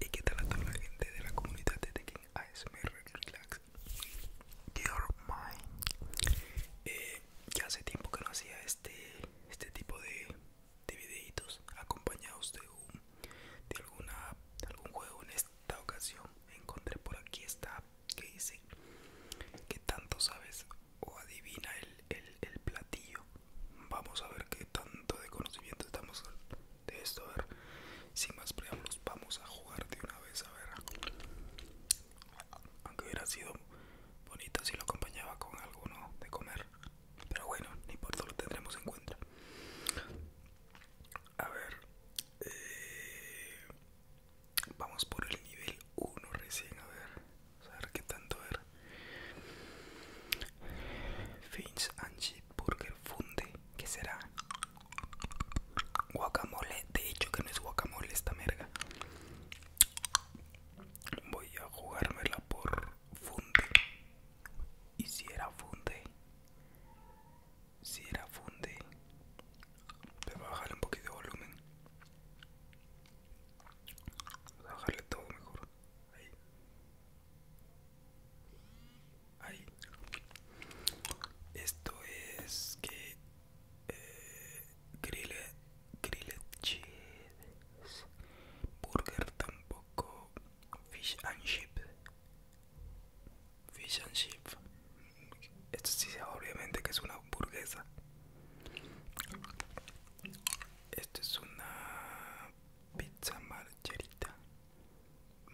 ¿Y qué tal a la gente de la comunidad de Tekken ASMR Relax? Your Mind eh, Ya hace tiempo que no hacía este, este tipo de, videitos acompañados de, de alguna, algún juego En esta ocasión encontré por aquí esta que dice Que tanto sabes o adivina el platillo Vamos a ver qué tanto de conocimiento estamos de esto. A ver, sin más preámbulos, vamos a jugar de una vez. A ver, aunque hubiera sido bonito si lo acompañaba con alguno de comer, pero bueno, ni por todo lo tendremos en cuenta. A ver, eh, vamos por el nivel 1 recién. A ver, a ver qué tanto era Finch and Burger Funde, que será? Guacamole, de hecho que no es guacamole esta merga. Voy a jugármela por funde. Y si era funde, si era funde, voy a bajarle un poquito de volumen. Voy a bajarle todo mejor. Ahí. Esto es que eh, Grille cheese, burger tampoco, fish and chips fish and chips Esto sí obviamente que es una hamburguesa. Esto es una pizza marcherita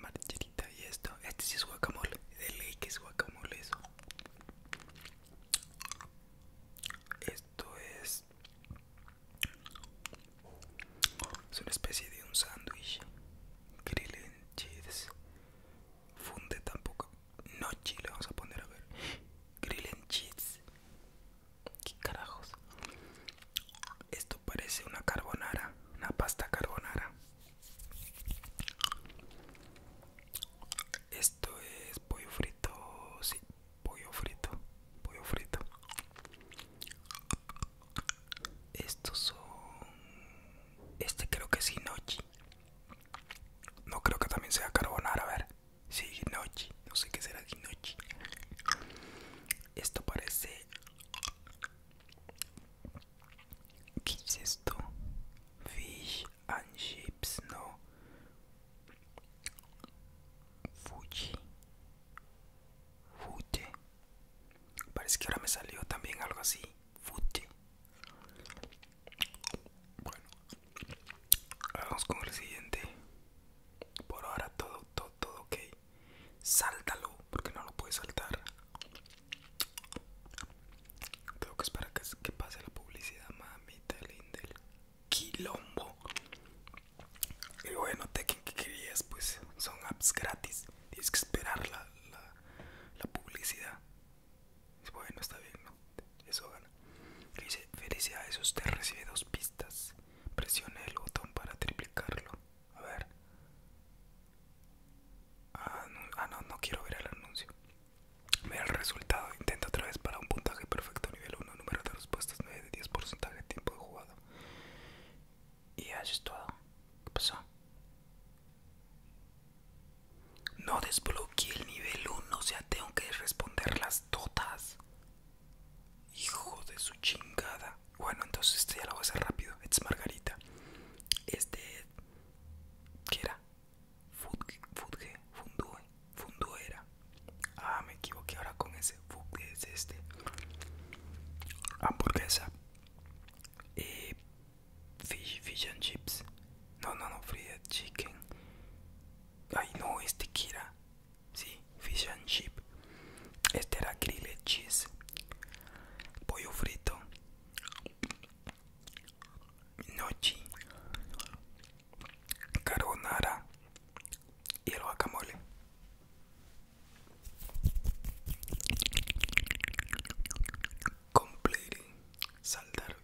marcherita y esto este es guacamole de ley que es guacamole eso esto es una especie de un sándwich grill and cheese funde tampoco no chile vamos a poner a ver grill and cheese ¿Qué carajos? Esto parece una carbonara, una pasta carbonara. Esto es pollo frito, sí, pollo frito, pollo frito. Estos son... Este creo que es Hinochi. No creo que también sea carbonara, a ver. si Hinochi. No sé qué será Hinochi. Esto parece... ¿Qué es esto? Fish and chips, no. Fuji. Fuji. Parece que ahora me salió también algo así. Fuji. Bueno. Vamos con el siguiente. Por ahora todo, todo, todo ok sáltalo porque no lo puedes saltar creo que es para que, pase la publicidad mamita linda del quilombo y bueno Tekken que querías pues son apps gratis tienes que esperar la, la, publicidad bueno está bien no eso gana dice felicidades usted recibe dos pistas presione el botón para triplicarlo. A ver. Ah, ah, no, no, quiero ver el anuncio. Ve el resultado. Intenta otra vez para un puntaje perfecto nivel 1. Número de respuestas 9 de 10, porcentaje tiempo de jugado. Y ya es todo. ¿Qué pasó? No desbloqueé el nivel 1, o sea, tengo que responder las todas. Hijo de su chingada. Bueno, entonces este ya lo voy a hacer rápido. Este es Margarita. Este. ¿Qué era? Fudge, Fundue, Funduera Ah, me equivoqué ahora con ese. Fudge es este. Hamburguesa. Eh, fish, and chips. No, no, no, fried chicken. Ay, no, este ¿qué era. Sí, fish and chip. Este era cheese. Pollo frito. Nochi. Carbonara. Y el guacamole. Complete. Saltar.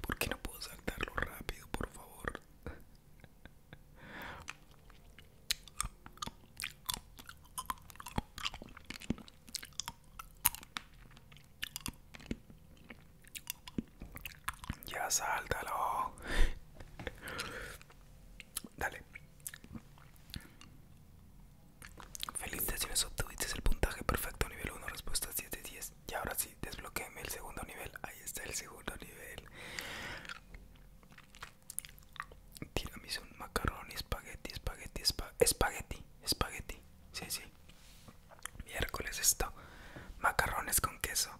porque no puedo saltarlo rápido, por favor? Ya sáltalo. Dale. Felicitaciones, obtuviste el puntaje perfecto nivel 1, respuestas 10 de 10. Y ahora sí, desbloqueame el segundo nivel. Ahí está el segundo nivel un macarrón, espagueti, espagueti, espagueti, espagueti. Sí, sí. Miércoles esto. Macarrones con queso.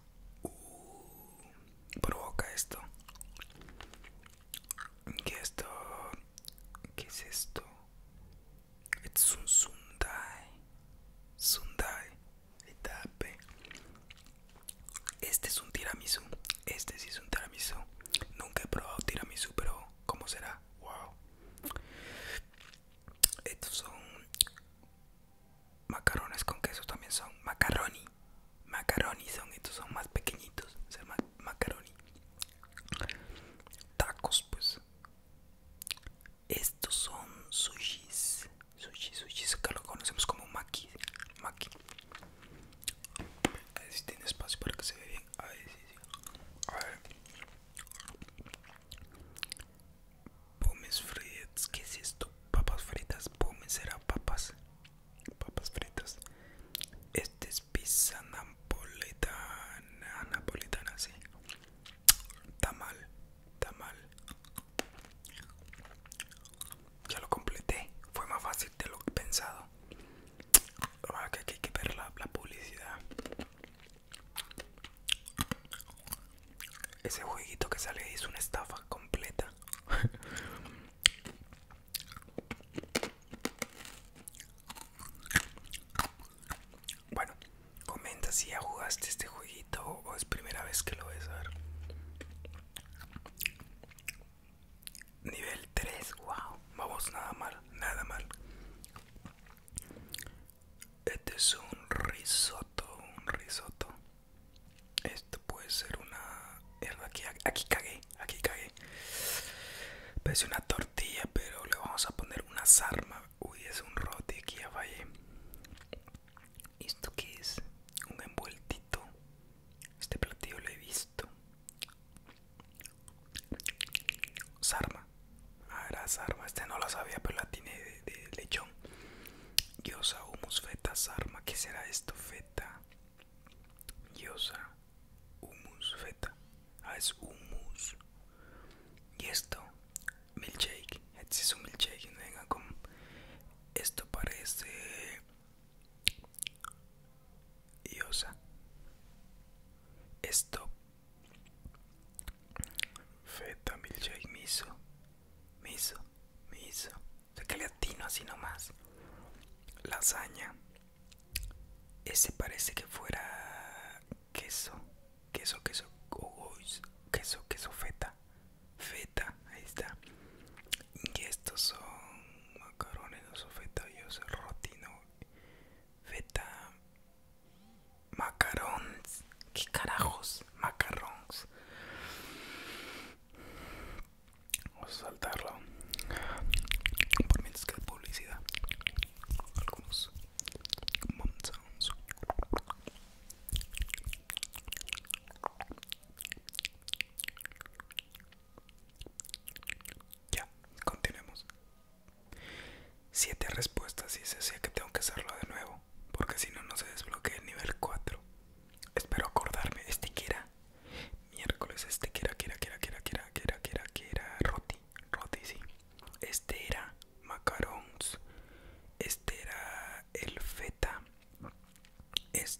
Uh, provoca esto. ¿Qué esto? ¿Qué es esto? Es un sundae, Sundai. Este es un tiramisú. Este sí es un tiramisú. Nunca he probado tiramisú, pero ¿cómo será? Wow. Estos son macarrones con queso también son macaroni. Macaroni son, estos son más pequeñitos, Son macaroni. Tacos, pues. Estos son sushis. Sushi, sushi, acá lo conocemos como maki. Maki. A ver si tiene espacio para que se vea bien. A ver si. frites A ver. fritas. ¿Qué es esto? Papas fritas. pumes será papas. Papas fritas. Este es pizza napolitana. Napolitana, sí. está mal. Ya lo completé. Fue más fácil de lo que he pensado. Ahora que hay que ver la, publicidad. Ese jueguito que sale es una estafa completa. bueno, comenta si ya jugaste este jueguito o es primera vez que lo ves Nivel 3, wow. Vamos, nada mal, nada mal. Este es un risotto, un risotto. Esto puede ser una... Aquí, aquí cagué, aquí cagué. Parece una tortilla, pero le vamos a poner una sarma. Uy, es un roti, aquí ya fallé. ¿Esto qué es? Un envueltito. Este platillo lo he visto. Sarma. Ah, era sarma. Este no lo sabía, pero la tiene de, lechón. yosa humus, feta, sarma. ¿Qué será esto? Feta. yosa humus, feta. Ah, es humus. Y esto, milkshake. Este es un milkshake. No venga con. Esto parece y Esto feta milkshake miso, miso, miso. O sea que le atino así nomás. Lasaña. Ese parece que fuera queso, queso, queso, queso, queso feta, feta ahí está. Y estos son macarones, no son feta, yo soy rotino. Feta, macarons, ¿qué carajos? Macarons. Vamos a saltarlo. Por menos que publicidad. Algunos ya, continuemos. Siete respuestas y se decía que tengo que hacerlo de nuevo, porque si no, no se desbloquea el nivel 4. Espero acordarme. Este que era miércoles, este que era, que era, que era, que era, que era, que era, que era, que era roti, roti, sí. Este era macarons, este era el feta. Este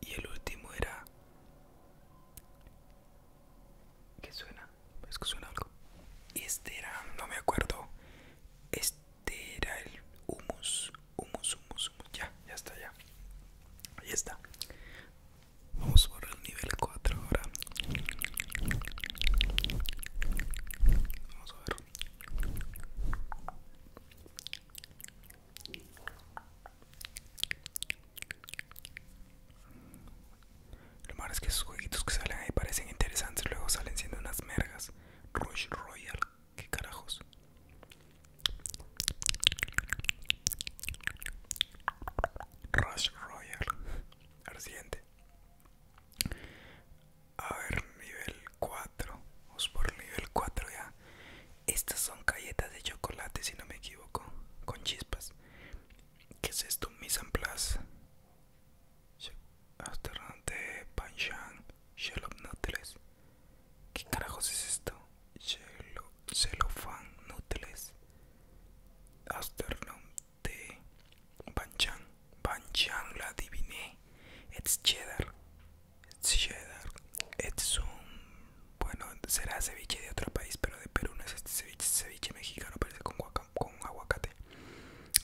y el último era... ¿Qué suena? Es que suena algo. Este era, no me acuerdo. Este era el humus, humus, humus, humus. Ya, ya está, ya. Ahí está. Vamos a por el nivel 4 ahora. Vamos a ver. Lo malo es que esos jueguitos que salen ahí parecen interesantes, luego salen siendo unas mergas. Rush Royal, qué carajos. Rush Royal. Al siguiente. A ver, nivel 4. Vamos por nivel 4 ya. Estas son galletas de chocolate, si no me equivoco. Con chispas. ¿Qué es esto? Mise en place. de Panchan. Shalom Nuttles. ¿Qué carajos es esto? Celofan Nuttles. Asternum de panchang, panchang la adiviné. It's cheddar cheddar este es un bueno será ceviche de otro país pero de Perú no es este ceviche ceviche mexicano parece con, con aguacate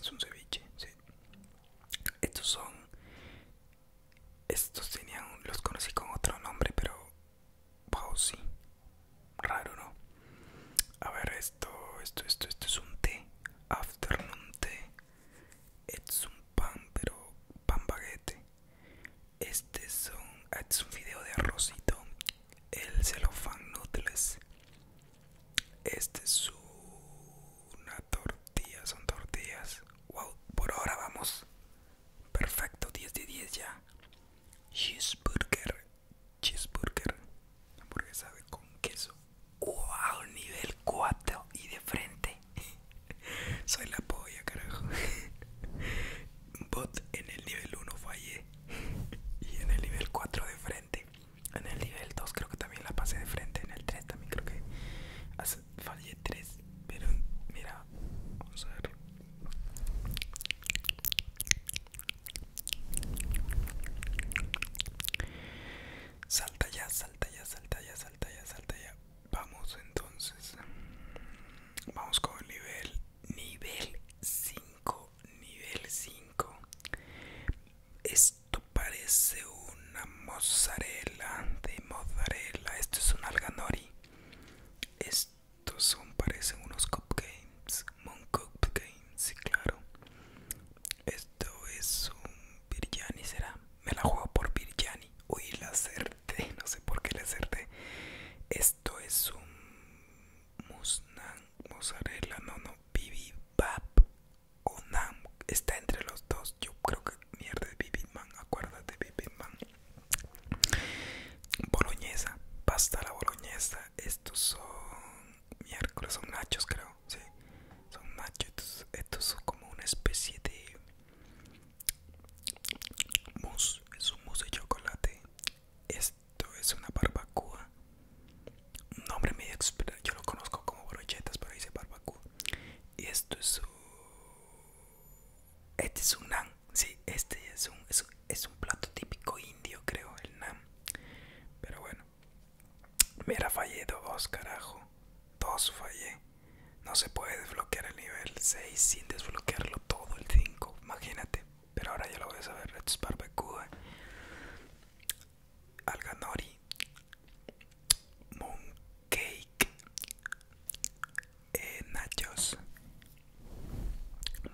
es un ceviche sí estos son estos tenían los conocí con otro nombre pero wow sí raro no a ver esto esto esto esto es un té afternoon tea es un pan pero pan baguete este, ah, este es un, video de arrocito el celofán noodles este es una tortilla son tortillas wow por ahora vamos perfecto 10 de 10 ya cheeseburger cheeseburger sabe con queso wow nivel 4 y de frente soy la polla carajo bot en el nivel 1 fallé y en el nivel 4 de frente en el nivel 2 creo que también la pasé de frente en el 3 también creo que fallé 3 pero mira vamos a ver Salta ya, salta ya, salta ya, salta ya, salta ya. Vamos entonces. Vamos con el nivel nivel 5, nivel 5. Esto parece una mozzarella de mozzarella. Esto es un alganori. Estos son parecen unos cupcakes, moon cupcakes, sí claro. Esto es un Biryani, será. Me la juego por Biryani Uy, la acerté. No sé por qué la acerté. Esto es un musnang. mozzarella. No, no, Bibimbap o Nam. Está entre los dos. Yo creo que mierda es Acuérdate, bibimbap Boloñesa, pasta la boloñesa. Estos son miércoles, son nachos, creo. Sí son machos estos, son como una especie de mousse es un mousse de chocolate esto es una barbacoa un nombre medio extraño yo lo conozco como brochetas pero dice barbacoa y esto es un este es un nan sí este es un, es un plato típico indio creo el nam pero bueno Mira, fallé dos, carajo. Dos fallé. No se puede desbloquear el nivel 6 sin desbloquearlo todo el 5. Imagínate. Pero ahora ya lo voy a saber. Let's barbecue. barbacoa. Alganori. Mooncake. Eh, nachos.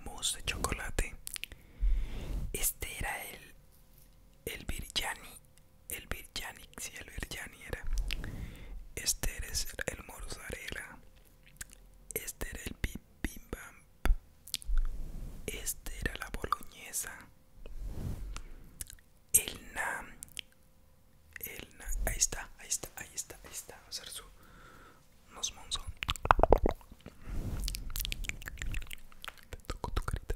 Mousse de chocolate. Este era el. El biryani el biryani, y el biryani era este era el mozzarella este era el Bimbam. este era la boloñesa el na el na, ahí está ahí está ahí está ahí está vamos a hacer su nos monzón te toco tu carita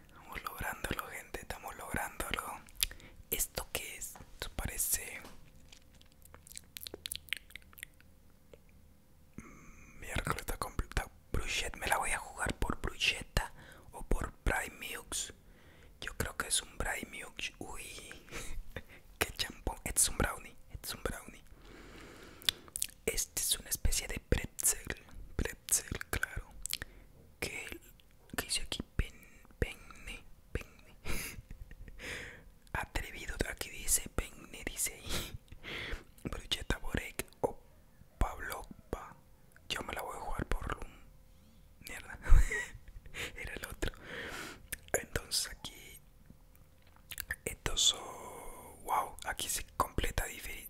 Estamos lográndolo, gente, estamos lográndolo. ¿Esto qué es? Esto parece... Mm, miércoles está completa. Bruchette, me la voy a jugar por bruschetta? o por Primeux. Yo creo que es un Primeux. Uy, qué champón. Este es un brownie, este es un brownie. Este es una especie de pretzel claro. Que, que aquí? penne, penne. Atrevido, aquí dice penne, dice ahí. Brucheta Borek o pablo Yo me la voy a jugar por Loom. Mierda. Era el otro. Entonces aquí. Estos Wow. Aquí se completa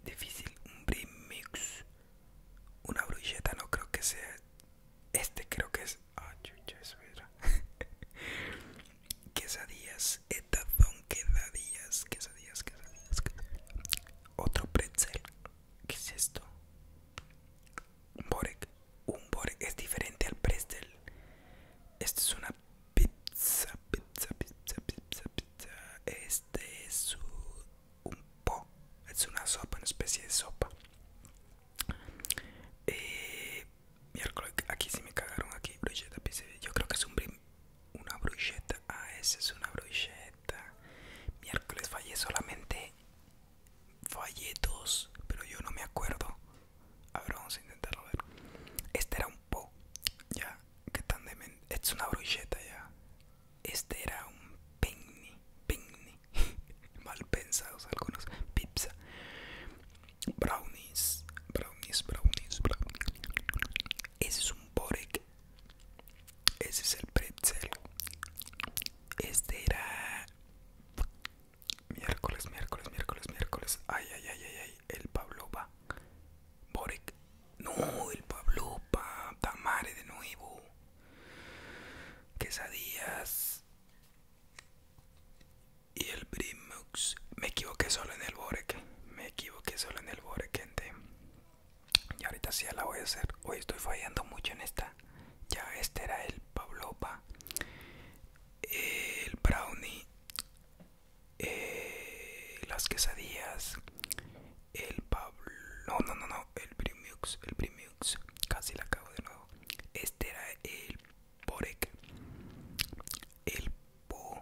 difícil. Un remix una brulleta no creo que sea. Este creo que es. Ah, chucha, es era. quesadillas, etazón, quesadillas, quesadillas, quesadillas, quesadillas. Otro pretzel. ¿Qué es esto? Un borek. Un borek es diferente al pretzel. Este es una pizza, pizza, pizza, pizza, pizza. Este es su un po es una sopa una especie de sopa eh, miércoles aquí sí me cagaron aquí brocheta pues, eh, yo creo que es un una brocheta ah esa es una brocheta miércoles fallé solamente fallé dos pero yo no me acuerdo a ver vamos a intentarlo a ver este era un po ya que tan demente es una brocheta ya este era un pingni, pingni, mal pensados algunos, pizza, brownies, brownies, brownies, brownies. Ese es un borek, ese es el pretzel. Este era miércoles, miércoles, miércoles, miércoles. Ay, ay, ay, ay, el Pablo va. Borek, no, el Pablopa, tamare de nuevo, quesadillas y el brimux, Me equivoqué solo en el borek, me equivoqué solo en el borek, gente. Y ahorita sí ya la voy a hacer. Hoy estoy fallando mucho en esta. Ya este era el pablupa, el brownie, eh, las quesadillas el Pablo, no, no, no, el Primiux, el Primiux, casi la acabo de nuevo. Este era el Porek el Po,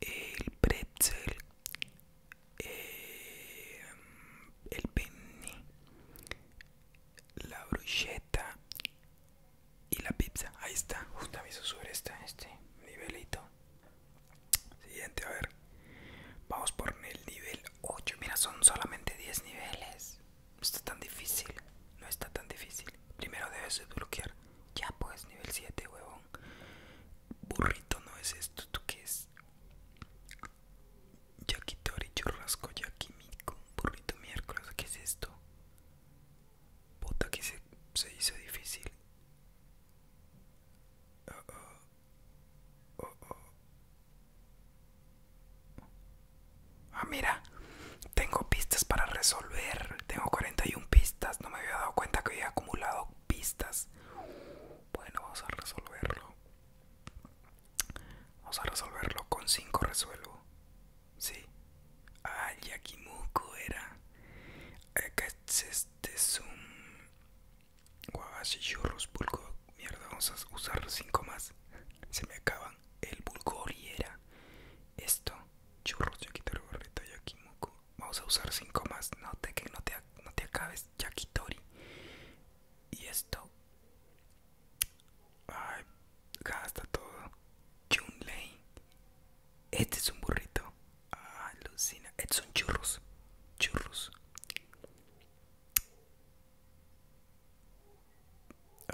el Pretzel, eh, el Penny, la bruschetta y la pizza. Ahí está, justo aviso sobre está este nivelito. Siguiente, a ver. Vamos por el nivel 8. Mira, son solamente 10 niveles. No está tan difícil. No está tan difícil. Primero debes desbloquear. Ya pues, nivel 7, huevón. Burrito no es esto. ¿Tú qué es? Yakitori, churrasco, yakimiku. Burrito miércoles. ¿Qué es esto? Puta que se, hizo difícil. Ah, mira, tengo pistas para resolver. Tengo 41 pistas. No me había dado cuenta que había acumulado pistas. Bueno, vamos a resolverlo. Vamos a resolverlo. Con 5 resuelvo. Sí. Ah, muco era. que este, es un Zoom. Guavas y churros, bulgor. Mierda, vamos a usar cinco más. Se me acaban. El bulgo esto. Churros, ya burrito, el Vamos a usar cinco más. No te, que no te, no te acabes, yakitori. Y esto. Ay, gasta todo. Chun Este es un burrito. Alucina. Estos eh, son churros. Churros.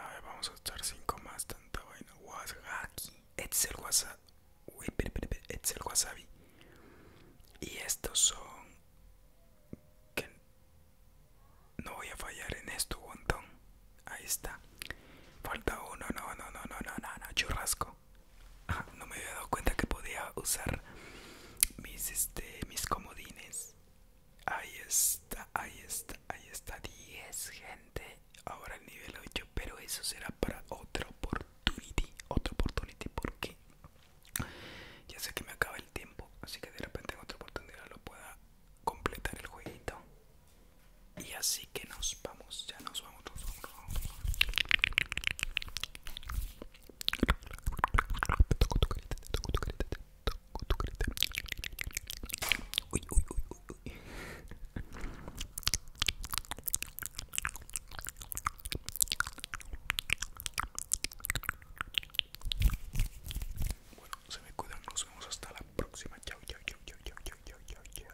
A ver, vamos a echar 5 más. Tanta vaina. el wasabi. Y estos son. no voy a fallar en esto, montón Ahí está. Falta uno. No, no, no, no, no, no. no. Churrasco ah, no me había dado cuenta que podía usar mis este mis comodines ahí está ahí está ahí está 10 gente ahora el nivel 8 pero eso será para otra oportunidad otra oportunidad porque ya sé que me acaba el tiempo así que de repente en otra oportunidad lo pueda completar el jueguito y así que nos vamos ya nos vamos, nos vamos, nos vamos. Ui, ui, ui, ui. Bueno, se me cuidan, nos vemos hasta la próxima. Chao, chao, chao, chao, chao, chao, chao, chao.